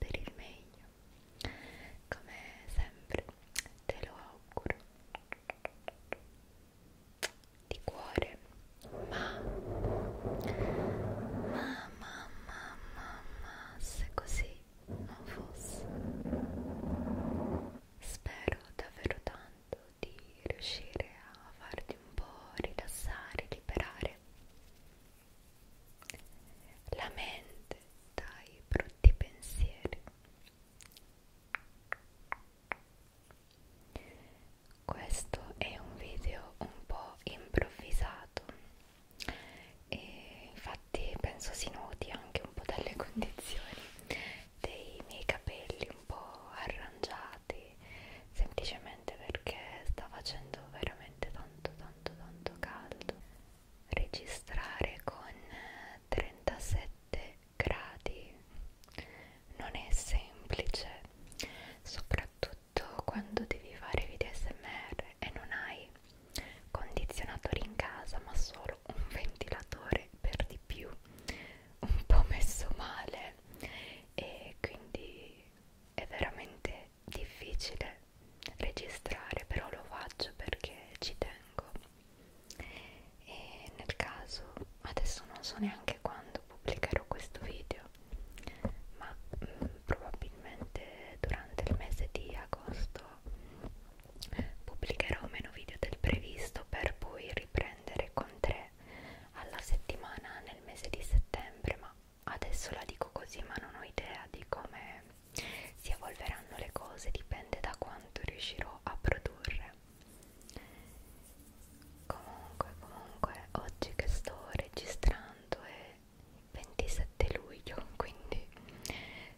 per il meglio come sempre te lo auguro di cuore ma ma ma ma ma, ma se così non fosse spero davvero tanto di riuscire a farti un po' rilassare liberare la mente dai brutti pensieri. Questo è un video un po' improvvisato e infatti penso si noti anche un po' dalle condizioni dei miei capelli un po' arrangiati semplicemente perché sta facendo veramente tanto tanto tanto caldo registrare con 37 gradi non è semplice soprattutto quando devi fare video smr e non hai condizionatori in casa ma solo un ventilatore per di più un po' messo male e quindi è veramente difficile registrare, però lo faccio perché ci tengo. E nel caso, adesso non so neanche quando pubblicherò questo video, ma mh, mm, probabilmente durante il mese di agosto pubblicherò meno video del previsto per poi riprendere con tre alla settimana nel mese di settembre, ma adesso la dico così ma non ho idea di come si evolveranno le cose dipende da quanto riuscirò a produrre comunque comunque oggi che sto registrando è 27 luglio quindi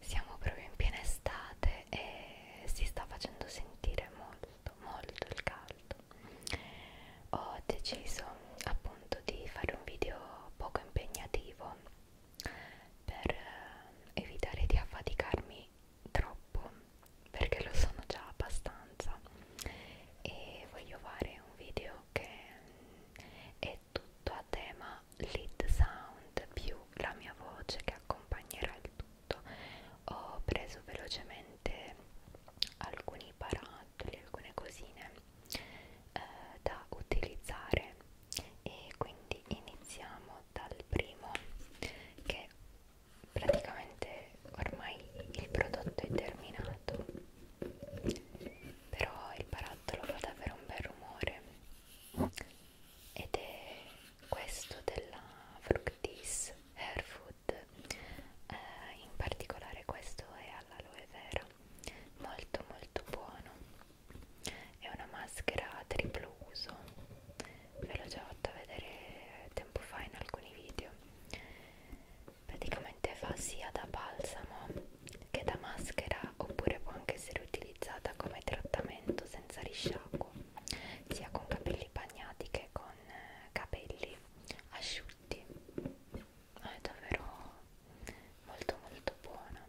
siamo proprio in piena estate e si sta facendo sentire molto molto il caldo ho deciso appunto di fare un video poco impegnativo per eh, evitare di affaticarmi troppo perché lo sono già abbastanza e voglio fare un video che è tutto a tema lead sound più la mia voce che accompagnerà il tutto ho preso velocemente alcuni parametri giocattoli, alcune cosine eh, da utilizzare e quindi iniziamo dal primo che praticamente ormai il prodotto è terminato però il barattolo fa davvero un bel rumore ed è questo della Fructis Hair Food eh, in particolare questo è all'aloe vera molto molto buono è una maschera triplo uso ve l'ho già fatto vedere tempo fa in alcuni video praticamente fa sia da balsamo che da maschera oppure può anche essere utilizzata come trattamento senza risciacquo sia con capelli bagnati che con eh, capelli asciutti ma è davvero molto molto buona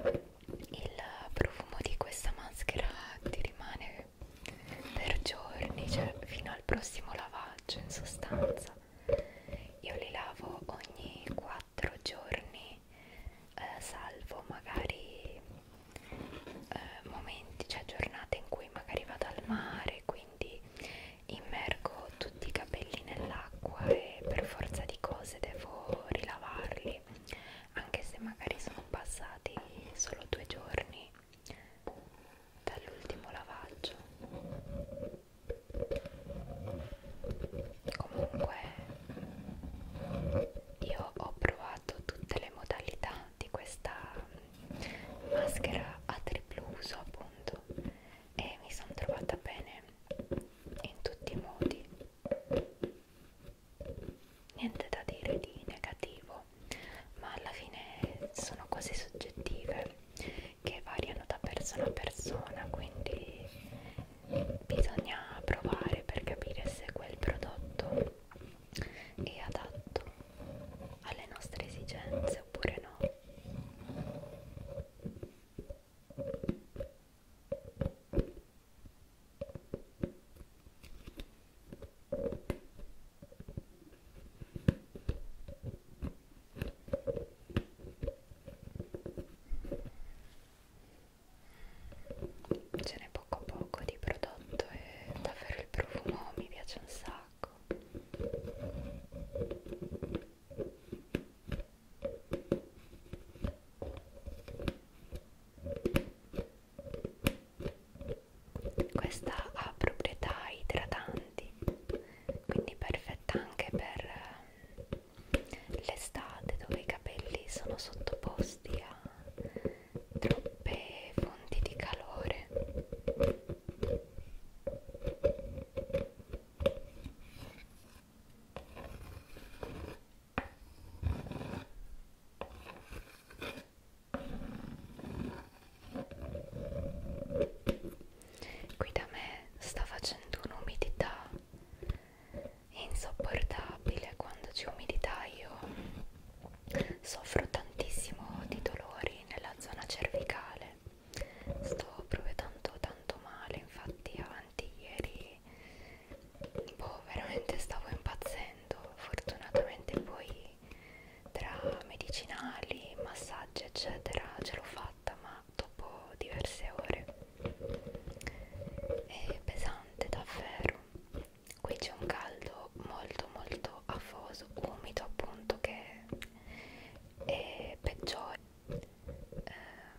il profumo di questa maschera ti rimane per giorni cioè fino al prossimo lavaggio in sostanza io li lavo ogni 4 giorni eh, salvo magari eh, momenti cioè giornate in cui magari vado al mare quindi quindi immergo tutti i capelli nell'acqua e per forza di cose devo rilavarli anche se magari sono passati solo due giorni dall'ultimo lavaggio comunque io ho provato tutte le modalità di questa maschera a triplo uso appunto e mi sono trovata bene in tutti i modi niente da dire di negativo ma alla fine sono cose soggettive che variano da persona a persona quindi bisogna provare per capire se quel prodotto è adatto alle nostre esigenze oppure no Ce n'è poco poco di prodotto e davvero il profumo mi piace un sacco sacco questa ha proprietà idratanti quindi perfetta anche per ehm, l'estate dove i capelli sono sottoposti a troppe fonti di calore Qui da me sta facendo un'umidità insopportabile quando c'è umidità io soffro tantissimo di dolori nella zona cervicale sto provvedendo tanto male infatti avanti ieri boh veramente stavo impazzendo fortunatamente poi tra medicinali massaggi eccetera ce l'ho fatta ma dopo diverse ore è pesante davvero qui c'è un caldo molto molto molto afoso, umido appunto che è peggiore eh,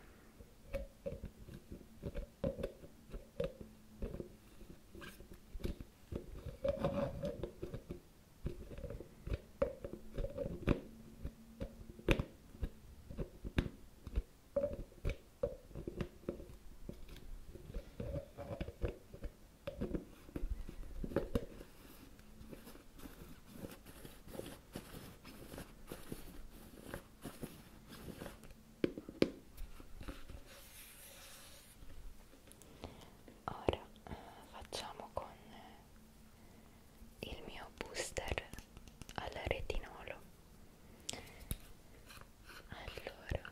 Ora eh, facciamo con il mio booster al retinolo. Allora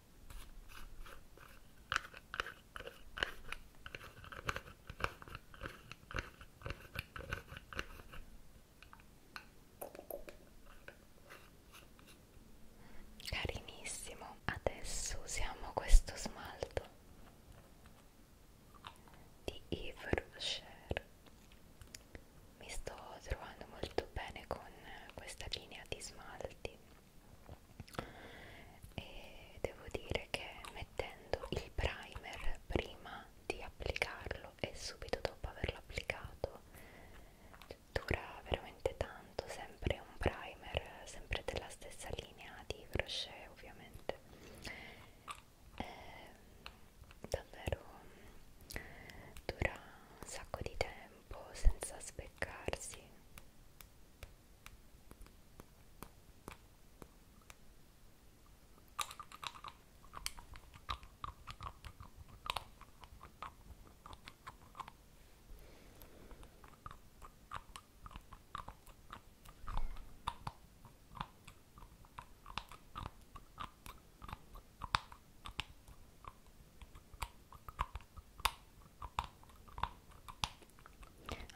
Carinissimo, adesso usiamo questo smalto di Yves Rocher. Mi sto trovando molto bene con questa linea di smalti e devo dire che mettendo il primer prima di applicarlo e subito dopo averlo applicato dura veramente tanto sempre un primer sempre della stessa linea di crochet ovviamente e ehm, davvero dura un sacco di tempo tempo senza speccarsi.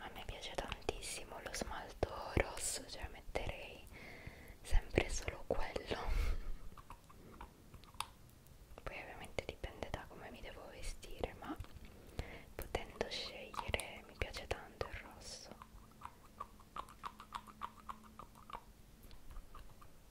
A me piace tantissimo lo smalto rosso, cioè metterei sempre solo quello. Poi ovviamente dipende da come mi devo vestire, ma potendo scegliere mi piace tanto il rosso.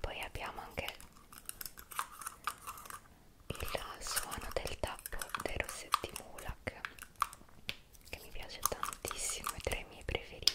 poi abbiamo anche il suono del tappo dei rossetti Mulak che mi piace tantissimo, è tra i miei preferiti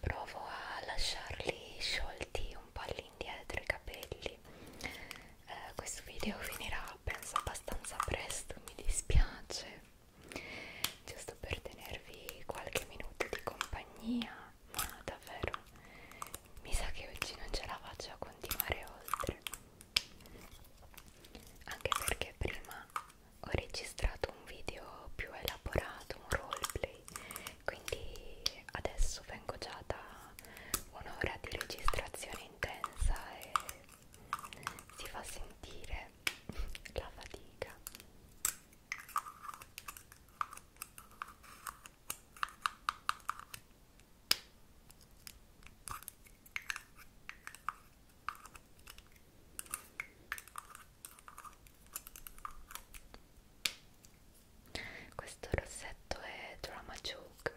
provo a lasciarli sciolti un po' all'indietro i capelli eh, questo video finirà penso abbastanza presto mi dispiace giusto per tenervi qualche minuto di compagnia ma davvero mi sa che oggi non ce la faccio a continuare oltre anche perché prima ho registrato un video più elaborato, un roleplay, quindi adesso vengo già da un'ora di registrazione intensa e si fa sentire la fatica. Questo rossetto è Drama Joke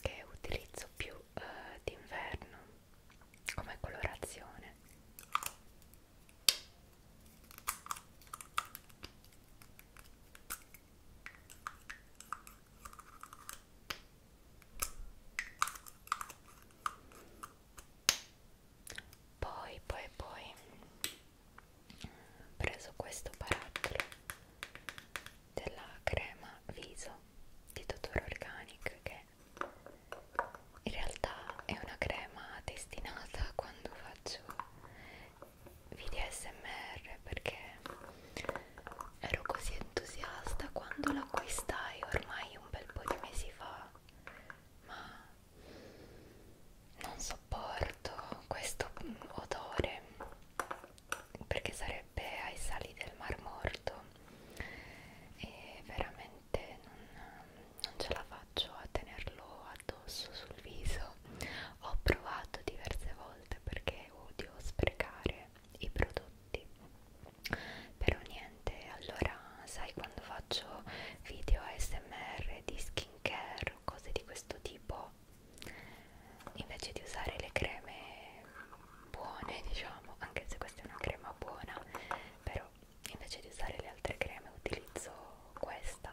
che utilizzo più uh, d'inverno come colorazione poi poi poi ho preso questo barattolo della crema viso di Dottor Organic che in realtà è una crema destinata quando faccio video smr perché ero così entusiasta quando l'acquistai ormai un bel po' di mesi fa ma non sopporto questo odore perché sarebbe ai sali del Mar Morto e veramente non, non ce la faccio a tenerlo addosso sul viso. Ho provato diverse volte perché odio sprecare i prodotti però niente allora sai quando faccio video ASMR di skincare o cose di questo tipo invece di usare le creme buone diciamo anche se questa è una crema buona però invece di usare le altre creme utilizzo questa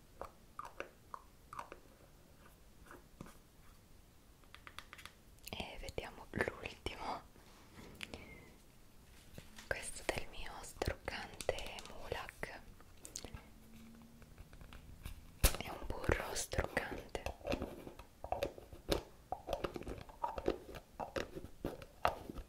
e vediamo l'ultimo questo del mio struccante mulak è un burro struccante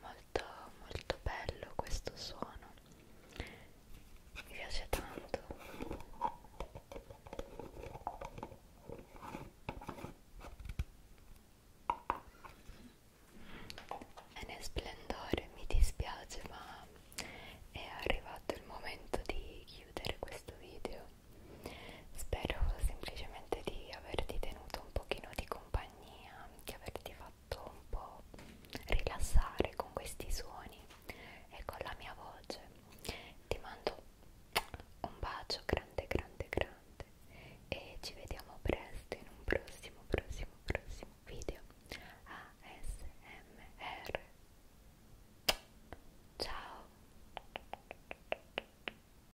molto molto bello questo suono mi piace tanto e nel splendore mi dispiace ma è arrivato il momento di chiudere questo video spero semplicemente di averti tenuto un pochino di compagnia, di averti fatto un po' rilassare con questi suoni e con la mia voce. Ti mando un bacio grande, grande, grande e ci vediamo presto in un prossimo, prossimo, prossimo video ASMR. Ciao!